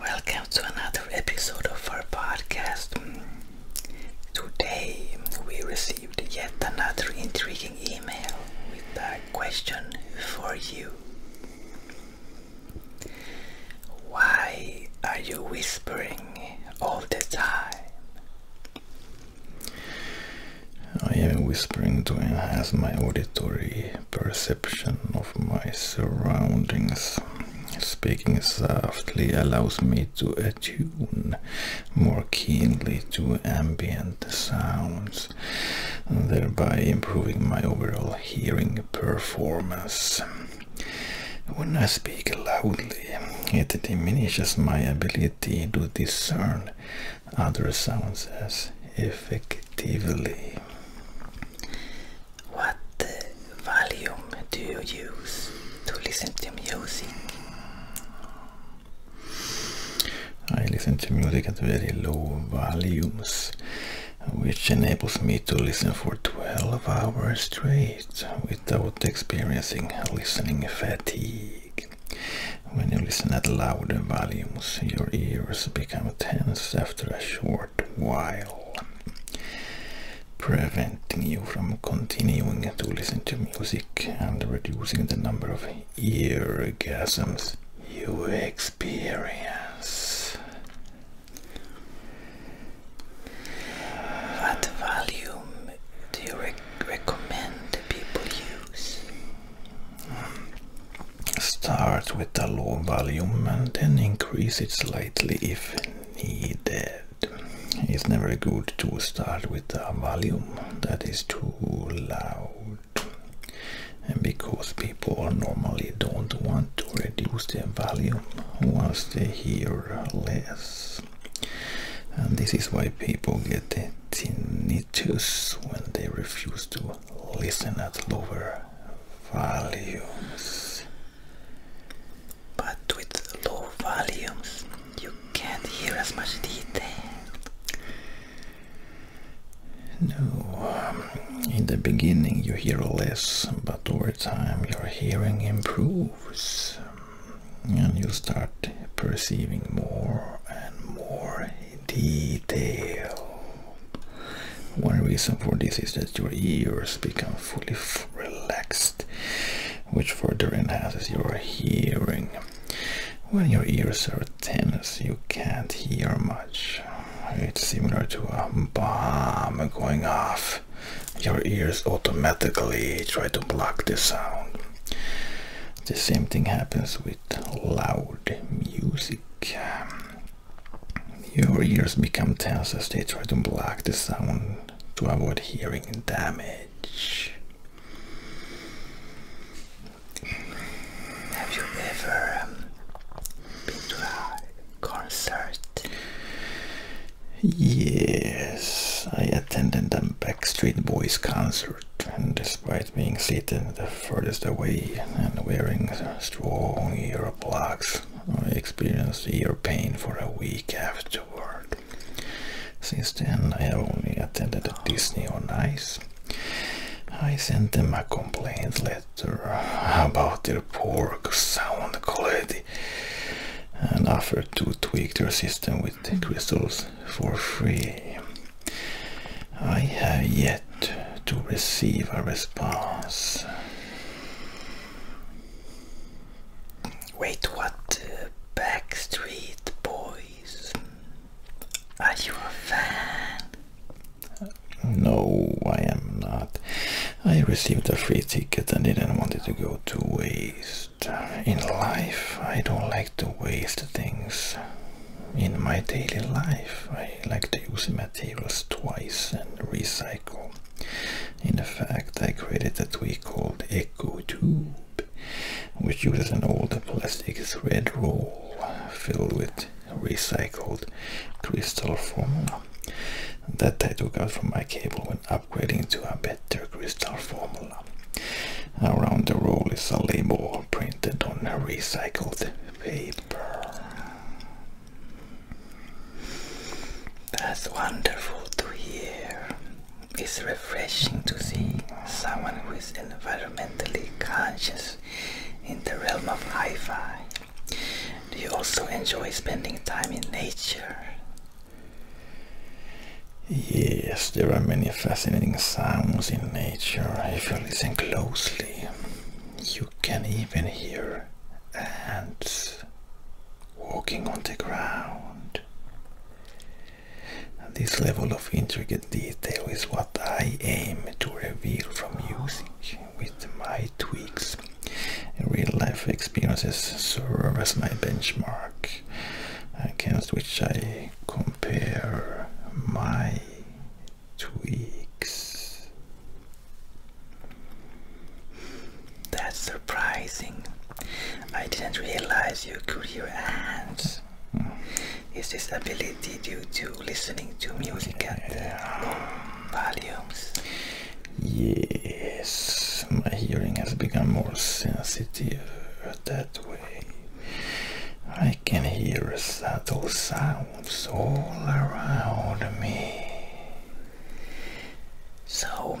Welcome to another episode of our podcast. Today we received yet another intriguing email with a question for you. Why are you whispering all the time? I am whispering to enhance my auditory perception of my surroundings. Speaking softly allows me to attune more keenly to ambient sounds, thereby improving my overall hearing performance. When I speak loudly, it diminishes my ability to discern other sounds as effective effectively. What volume do you use to listen to music? I listen to music at very low volumes, which enables me to listen for 12 hours straight without experiencing listening fatigue. When you listen at loud volumes, your ears become tense after a short while, preventing you from continuing to listen to music and reducing the number of eargasms you experience. What volume do you recommend people use? Start with a low volume and then increase it slightly if needed. It's never good to start with a volume that is too loud because people normally don't want to reduce their volume once they hear less. And this is why people get tinnitus when they refuse to listen at lower volumes. But with low volumes, you can't hear as much detail. No, um, in the beginning you hear less, but over time your hearing improves um, and you start perceiving more and more detail. One reason for this is that your ears become fully relaxed, which further enhances your hearing. When your ears are tense, you can't hear much. It's similar to a bomb going off. Your ears automatically try to block the sound. The same thing happens with loud music. Ehm, your ears become tense as they try to block the sound to avoid hearing damage. Have you ever um, been to a concert? Yes, I attended a Backstreet Boys concert and despite being seated the furthest away and wearing strong ear plugs, I experienced ear pain for a week afterward. Since then, I have only attended Disney on Ice. I sent them a complaint letter about their poor sound quality and offered to tweak their system with crystals for free. I have yet to receive a response. Wait, what? Uh, Backstreet Boys? Are you a fan? No, I am not. I received a free ticket and didn't want it to go to waste. In life, I don't like to waste things in my daily life. I like to use materials twice and recycle. In fact, I created a tweak called Eco Tube, which uses an old plastic thread roll filled with recycled crystal formula that I took out from my cable when upgrading to a better crystal formula. Around the roll is a label printed on recycled paper. That's wonderful to hear. It's refreshing to see someone who is environmentally conscious in the realm of hi fi. Do you also enjoy spending time in nature? Yes, there are many fascinating sounds in nature listen closely, you can even hear ants walking on the ground. This level of intricate detail is what I aim to reveal from music with my tweaks. Real life experiences serve as my benchmark against which I compare my twigs. That's surprising. I didn't realize you could hear ants. Is this ability due to listening to music at low volumes? Yes, my hearing has become more sensitive that way. I I can hear subtle sounds all around me. So,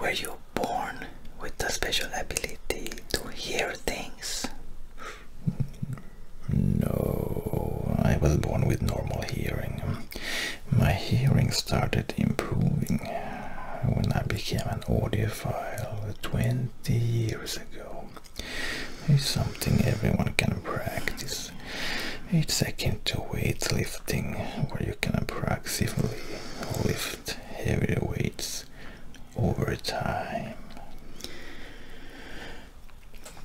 were you born with a special ability to hear things? No, I was born with normal hearing. My hearing started improving when I became an audiophile 20 years ago. It's something everyone can practice. It's akin to weightlifting, where you can progressively lift heavier weights over time.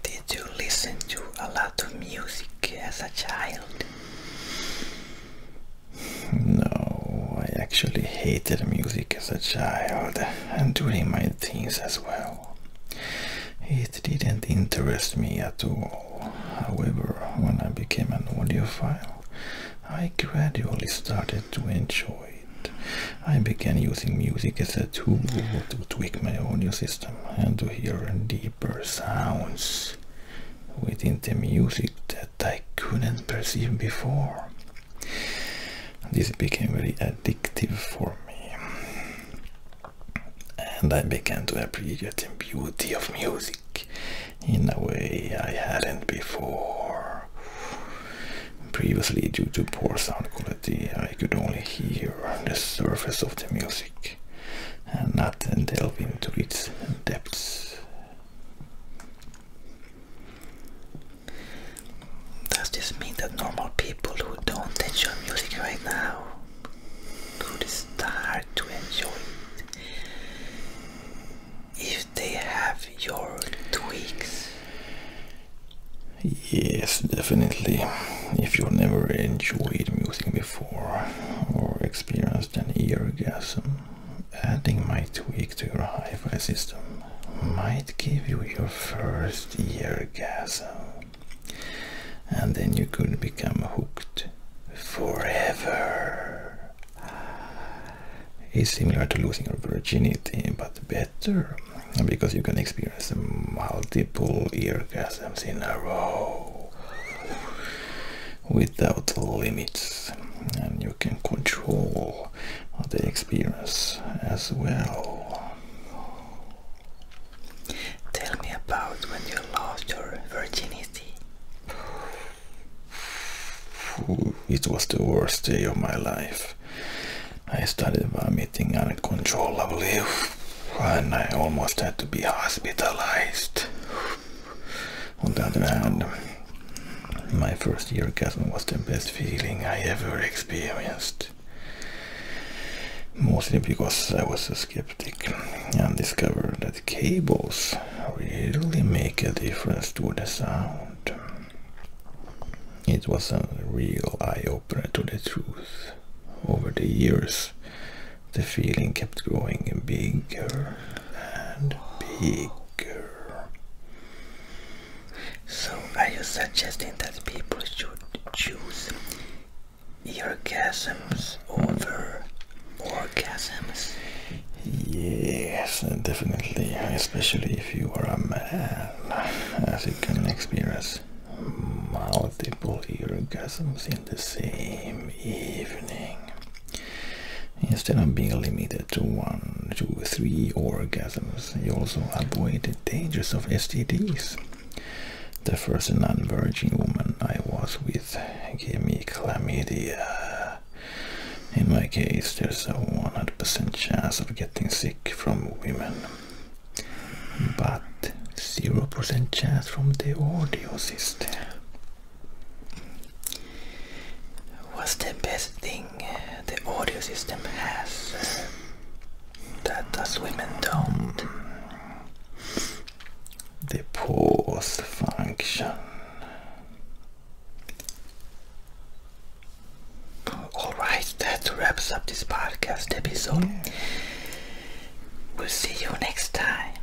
Did you listen to a lot of music as a child? No, I actually hated music as a child and doing my things as well. It didn't interest me at all. However, when I became an audiophile, I gradually started to enjoy it. I began using music as a tool to tweak my audio system and to hear deeper sounds within the music that I couldn't perceive before. This became very addictive for me, and I began to appreciate the beauty of music in a way I hadn't before. Previously, due to poor sound quality, I could only hear the surface of the music and not delve into its depths. Does this mean that normal people who don't enjoy music right now could start to enjoy it if they have your tweaks? Yes, definitely. If you've never enjoyed music before or experienced an orgasm, adding my tweak to your hi fi system might give you your first orgasm, and then you could become hooked forever. It's similar to losing your virginity, but better because you can experience multiple orgasms in a row without limits and you can control the experience as well. Tell me about when you lost your virginity. It was the worst day of my life. I started vomiting uncontrollably and I almost had to be hospitalized. On the other hand, my first year orgasm was the best feeling I ever experienced. Mostly because I was a skeptic and discovered that cables really make a difference to the sound. It was a real eye-opener to the truth. Over the years, the feeling kept growing and bigger and bigger. So are you suggesting that people should choose orgasms over orgasms? Yes, definitely, especially if you are a man, as you can experience multiple orgasms in the same evening. Instead of being limited to one, two, three orgasms, you also avoid the dangers of STDs. The first non-virgin woman I was with gave me chlamydia. In my case, there's a 100% chance of getting sick from women, but 0% chance from the audio system. What's the best thing uh, the audio system has uh, that us women don't? The pause function. Alright, that wraps up this podcast episode. We'll see you next time.